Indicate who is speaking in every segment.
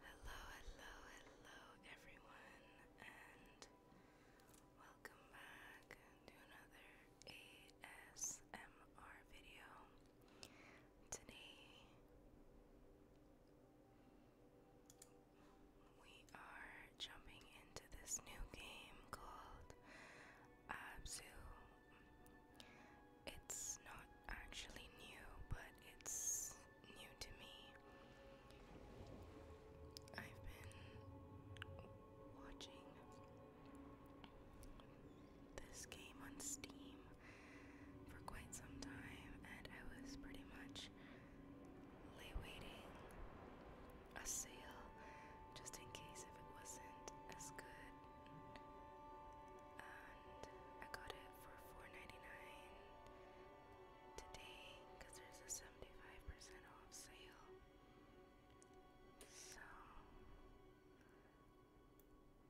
Speaker 1: Hello, hello, hello, everyone, and welcome back to another ASMR video. Today, we are jumping into this new game called Absu it's not actually new, but it's new to me. I've been watching this game on Steam for quite some time, and I was pretty much waiting a sale just in case if it wasn't as good. And I got it for 4 today because there's a 75% off sale. So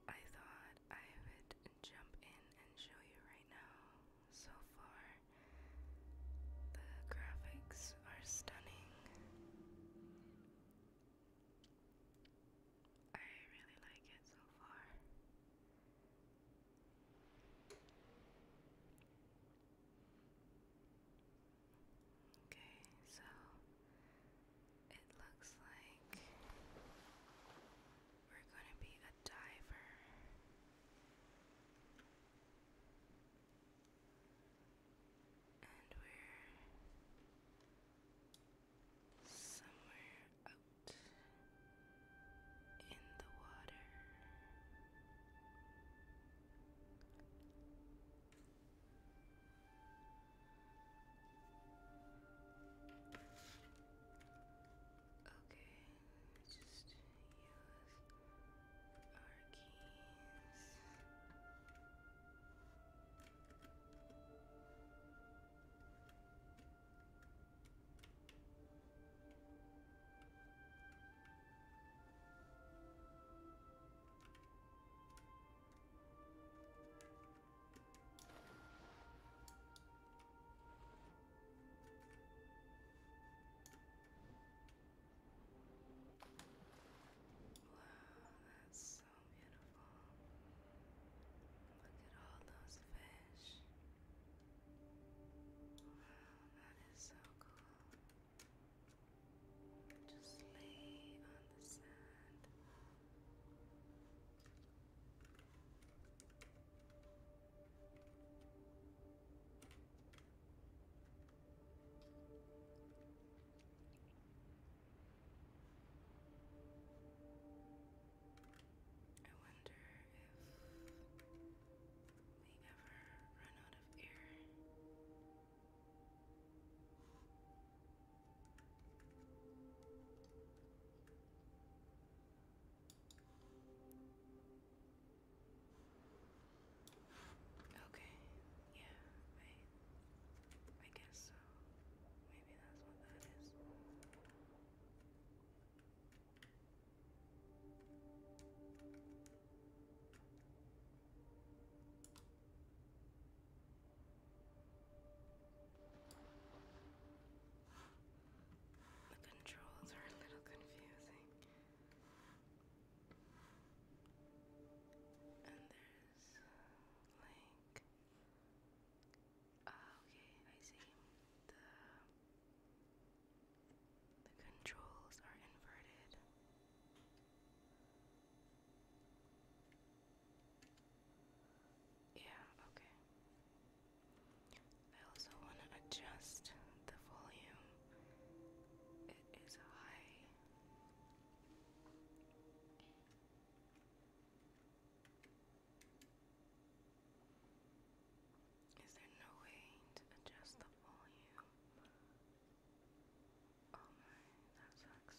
Speaker 1: I thought I would jump in and show you right now. So far, the graphics are stunning. I really like it so far. Okay, so it looks like we're going to be a diver. And we're somewhere out in the water. Okay, just use our keys. Wow, that's so beautiful. Look at all those fish. Wow, that is so cool. Just lay on the sand. I wonder if we ever run out of air. Okay, yeah, I I guess that's The controls are a little confusing. And there's uh, like uh, okay, I see. The the controls are inverted. Yeah, okay. I also want to adjust the volume. It is high. Is there no way to adjust the volume? Oh my, that sucks.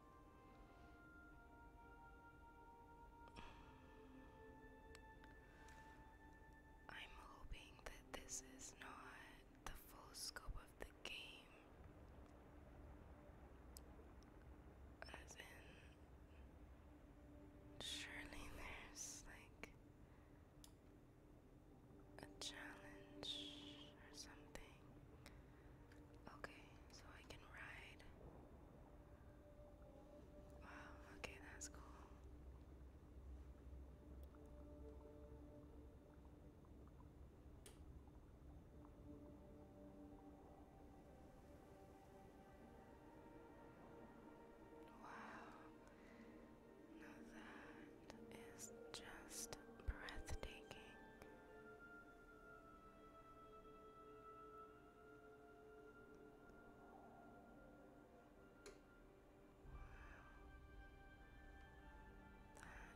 Speaker 1: I'm hoping that this is not the full scope of the game. As in, surely there's like a challenge or something. Okay, so I can ride. Wow, okay, that's cool. Wow, now that is just breathtaking.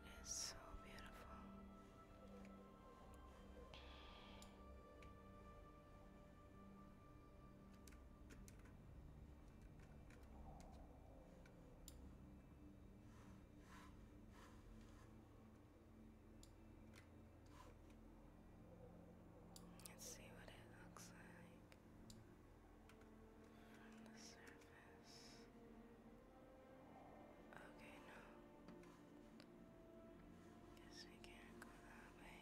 Speaker 1: That is so beautiful. Let's see what it looks like on the surface. Okay, no. Guess we can't go that way.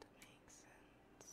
Speaker 1: That makes sense.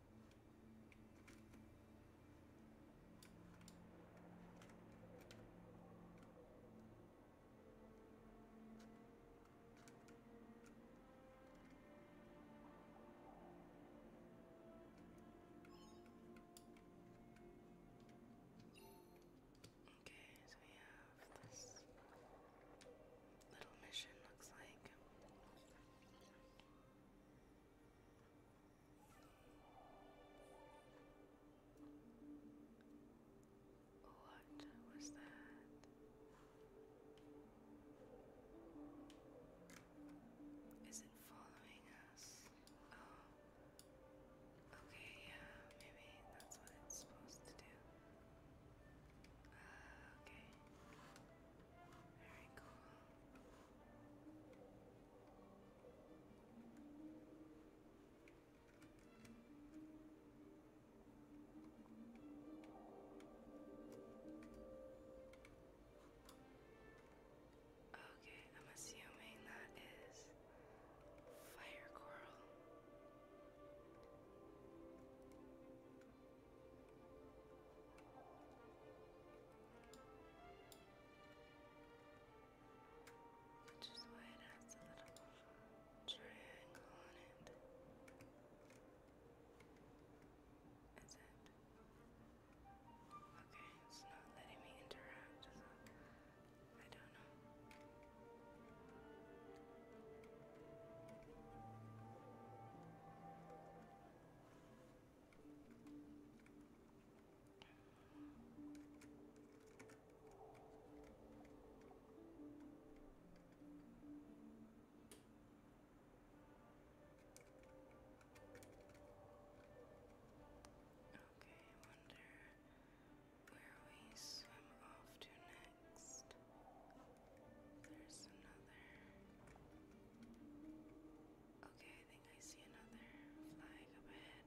Speaker 1: Okay, so we have this little mission looks like. What was that? Is it following us? Oh. Okay, yeah, maybe that's what it's supposed to do. Uh, okay. Okay, I'm assuming that is fire coral. Which is why it has a little triangle on it. Is it? Okay, it's not letting me interact, so I don't know. Okay, Okay, I wonder where we swim off to next. There's another. Okay, I think I see another flag up ahead.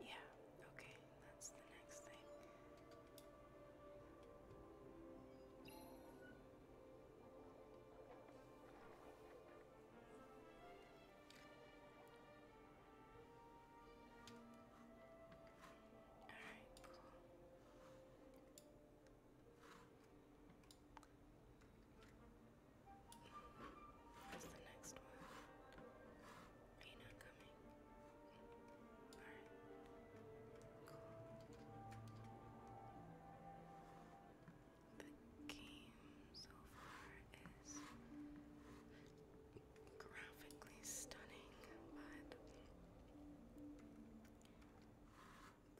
Speaker 1: Yeah, okay, that's the next thing. All right. What's the next one? Are you not coming? All right. Cool game so far is graphically stunning, but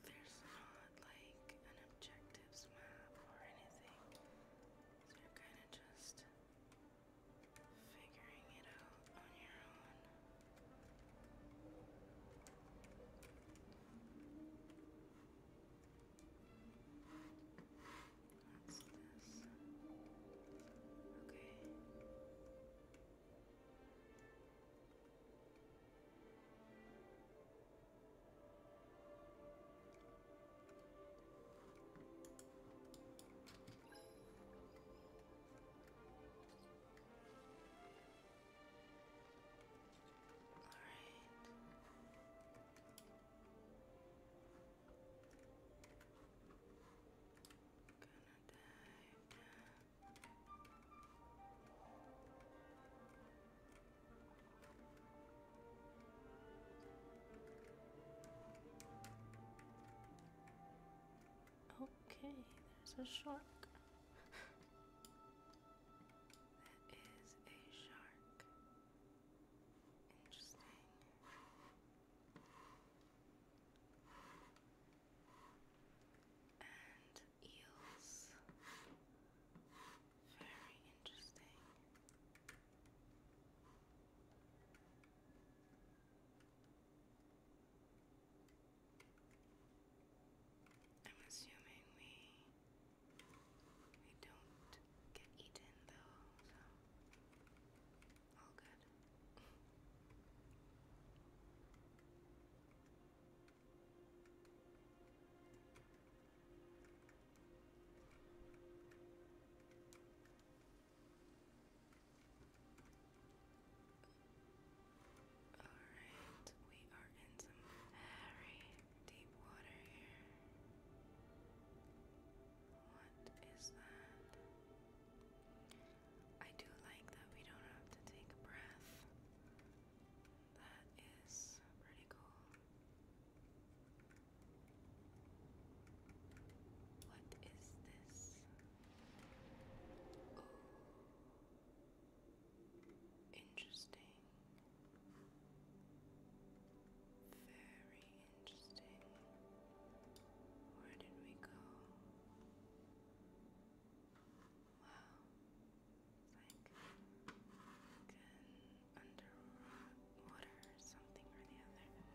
Speaker 1: there's not like an objectives map or anything. So you're kind of just figuring it out on your own. What's this? Okay. All right. Okay, there's a shark. that is a shark. Interesting. And eels. Very interesting. I'm assuming we they don't get eaten though, so all good. All right, we are in some very deep water here. What is that? I do like that we don't have to take a breath. That is pretty cool. What is this? Oh. Interesting. Very interesting. Where did we go? Wow. It's like, like an or something or the other.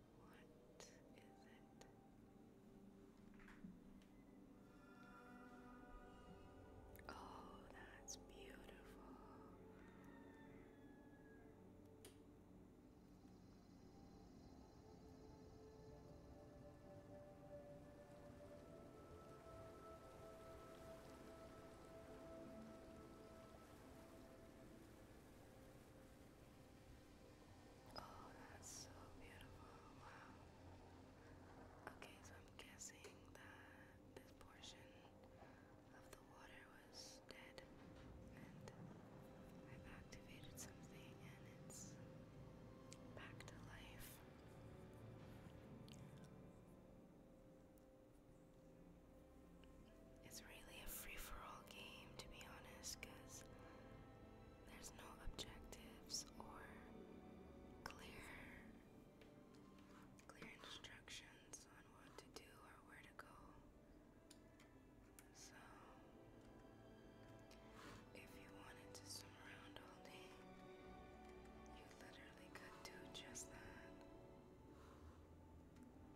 Speaker 1: What is it? Oh, that's beautiful. Oh, that's so beautiful. Wow. Okay, so I'm guessing that this portion of the water was dead, and I've activated something, and it's back to life it's really a free for all game, to be honest, because there's no objectives or clear clear instructions on what to do or where to go. So if you wanted to swim around all day, you literally could do just that.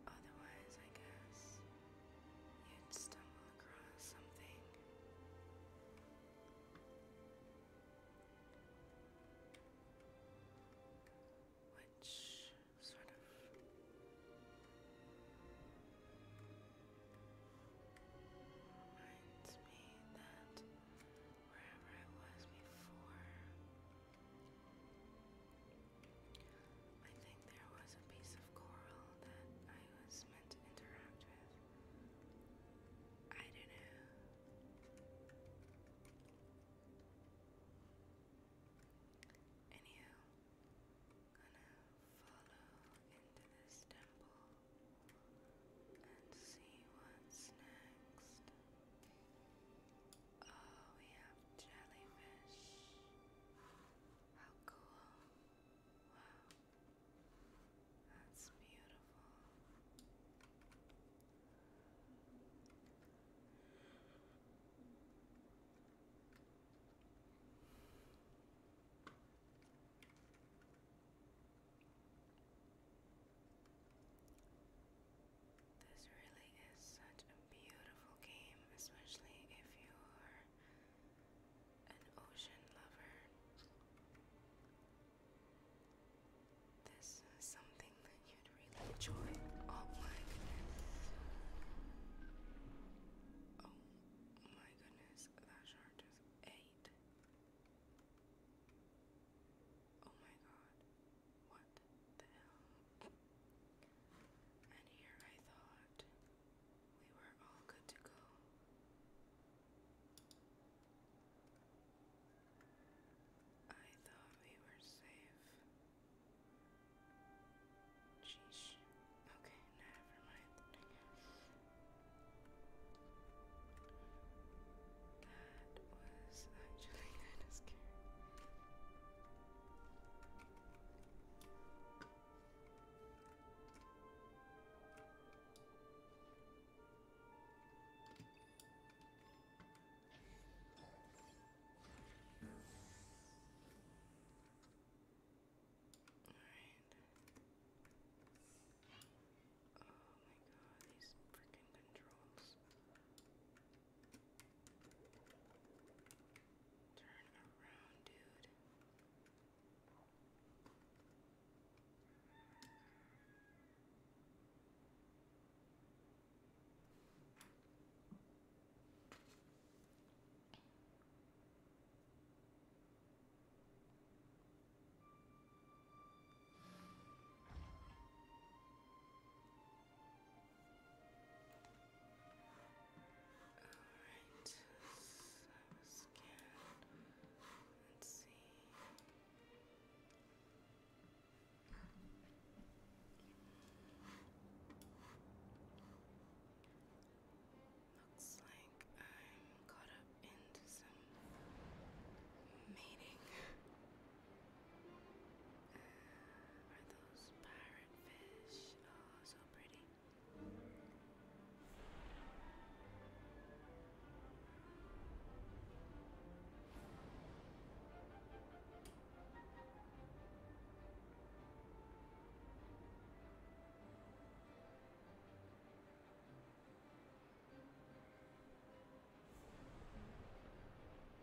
Speaker 1: Otherwise, I guess you'd stumble across something. Which sort of reminds me that wherever I was before, I think there was a piece of coral that I was meant to interact with. I don't know. Anyhow, gonna follow into this temple and see what's next. Oh, we have jellyfish. How cool. Wow. That's beautiful. This really Building is such a beautiful game, especially if you are an ocean lover. This is something that you'd really enjoy. Oh my goodness. Oh my goodness, that shark just ate. Oh my god. What the hell? And here I thought we were all good to go. I thought we were safe. Sheesh. Okay, never mind. That was actually kind of scary. Oh my god, these freaking controls. Turn around, dude. Alright, so Let's see. Looks like I'm caught up into some mating are those pirate fish? Oh, so pretty.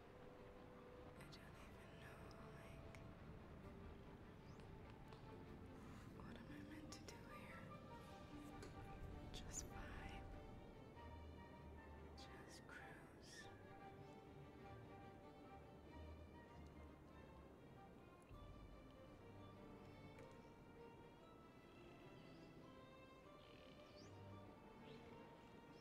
Speaker 1: I don't even know, like, what am I meant to do here? Just vibe. Just cruise.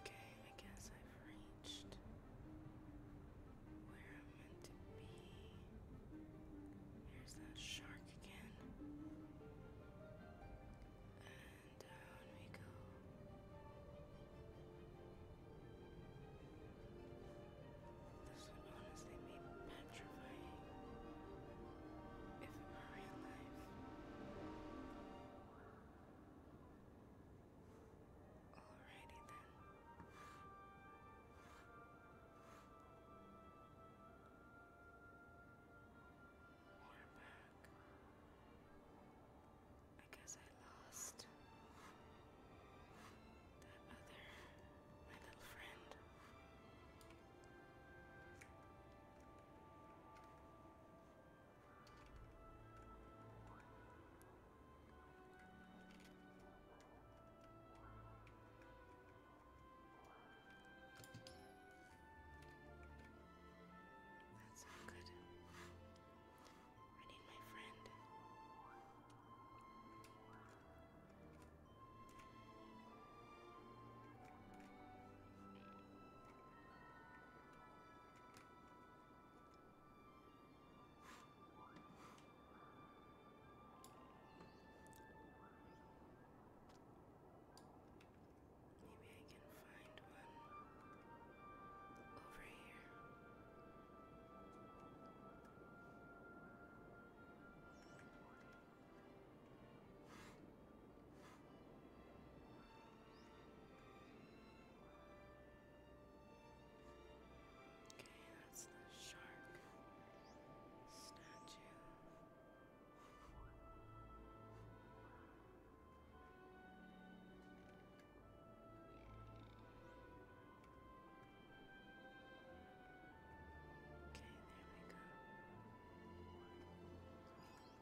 Speaker 1: Okay, I guess I've reached where I'm meant to be. Here's that shark again. And down we go. This would honestly be petrifying if it were real life. Alrighty then. We're back. I guess I lost that other, my little friend. That's not good. I need my friend. Maybe I can find one over here. Okay, that's the shark statue. Okay, there we go.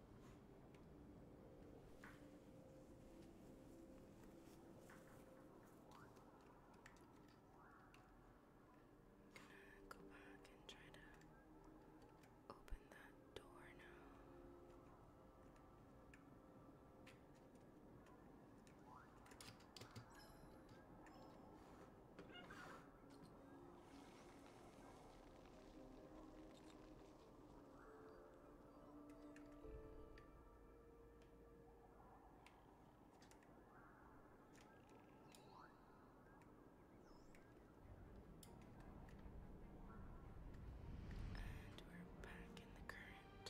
Speaker 1: Gonna go back and try to open that door now. And we're back in the current.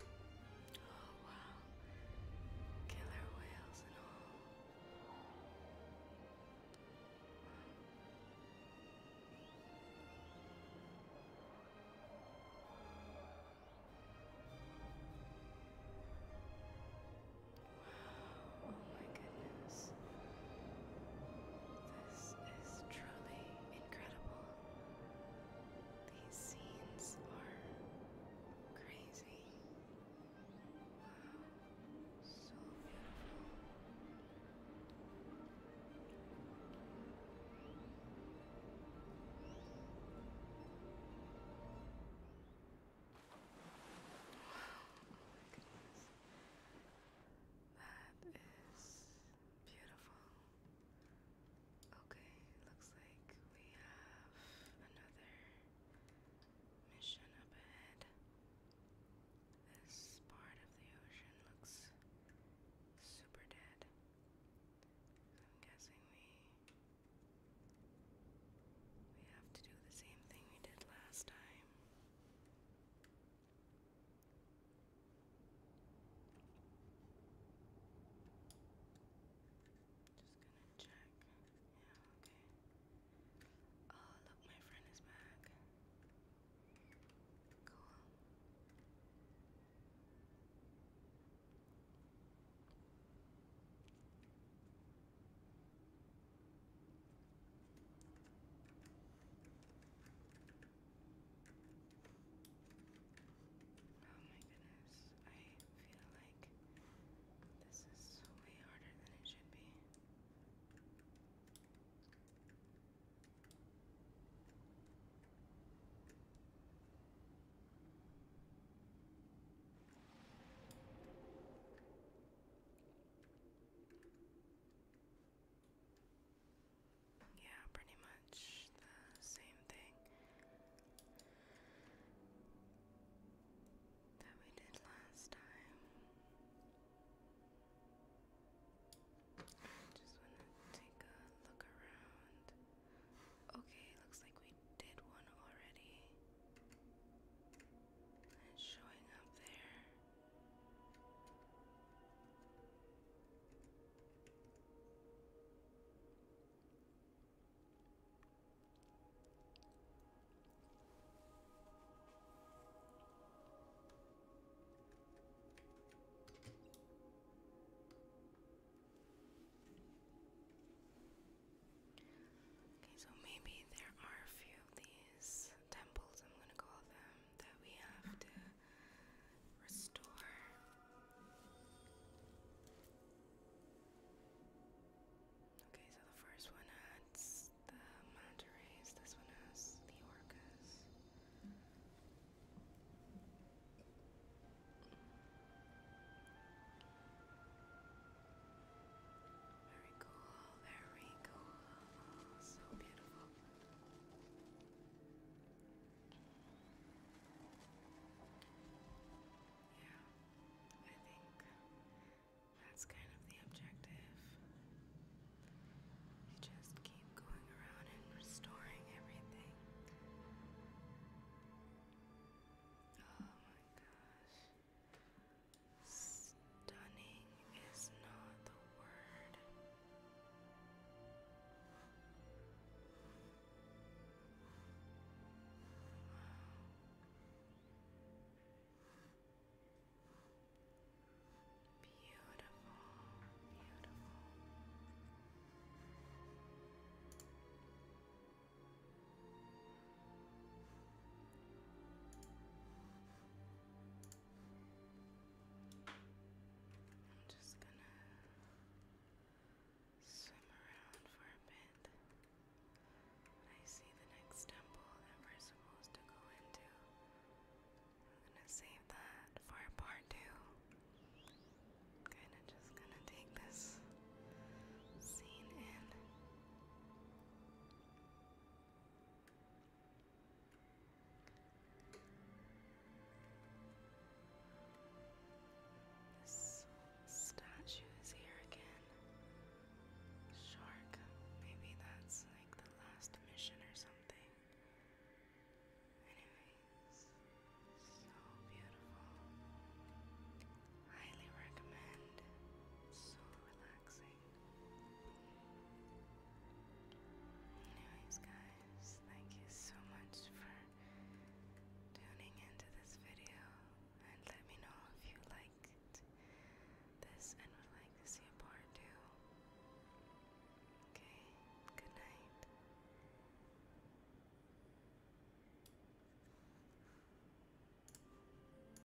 Speaker 1: Oh wow. Killer whales and all. Wow. Oh my goodness. This is truly incredible. These scenes are crazy. Wow. So beautiful. Oh my goodness. That is beautiful. Okay, looks like we have another mission up ahead. This part of the ocean looks super dead. I'm guessing we we have to do the same thing we did last time. Just gonna check. Yeah, okay. Oh, look, my friend is back. Cool. Oh my goodness, I feel like this is way harder than it should be. Yeah, pretty much the same thing that we did last time. Just want to take a look around. Okay, looks like we did one already. It's showing up there. Okay, so maybe there are a few of these temples, I'm gonna call them, that we have to restore. Okay, so the first one has the manta this one has the orcas. Very cool, very cool. Oh, so beautiful. Yeah, I think that's kind of the objective. You just keep going around and restoring everything. Oh my gosh. Stunning is not the word. Beautiful, beautiful. I'm just gonna swim around for a bit. I see the next temple that we're supposed to go into, I'm gonna save that for part 2 kind kinda just gonna take this scene in. This statue is here again. Shark. Maybe that's like the last mission or something. Anyways, so beautiful. Highly recommend. So relaxing. Anyways guys, thank you so much for tuning into this video and let me know if you liked this and would like to see a part 2. Okay, good night.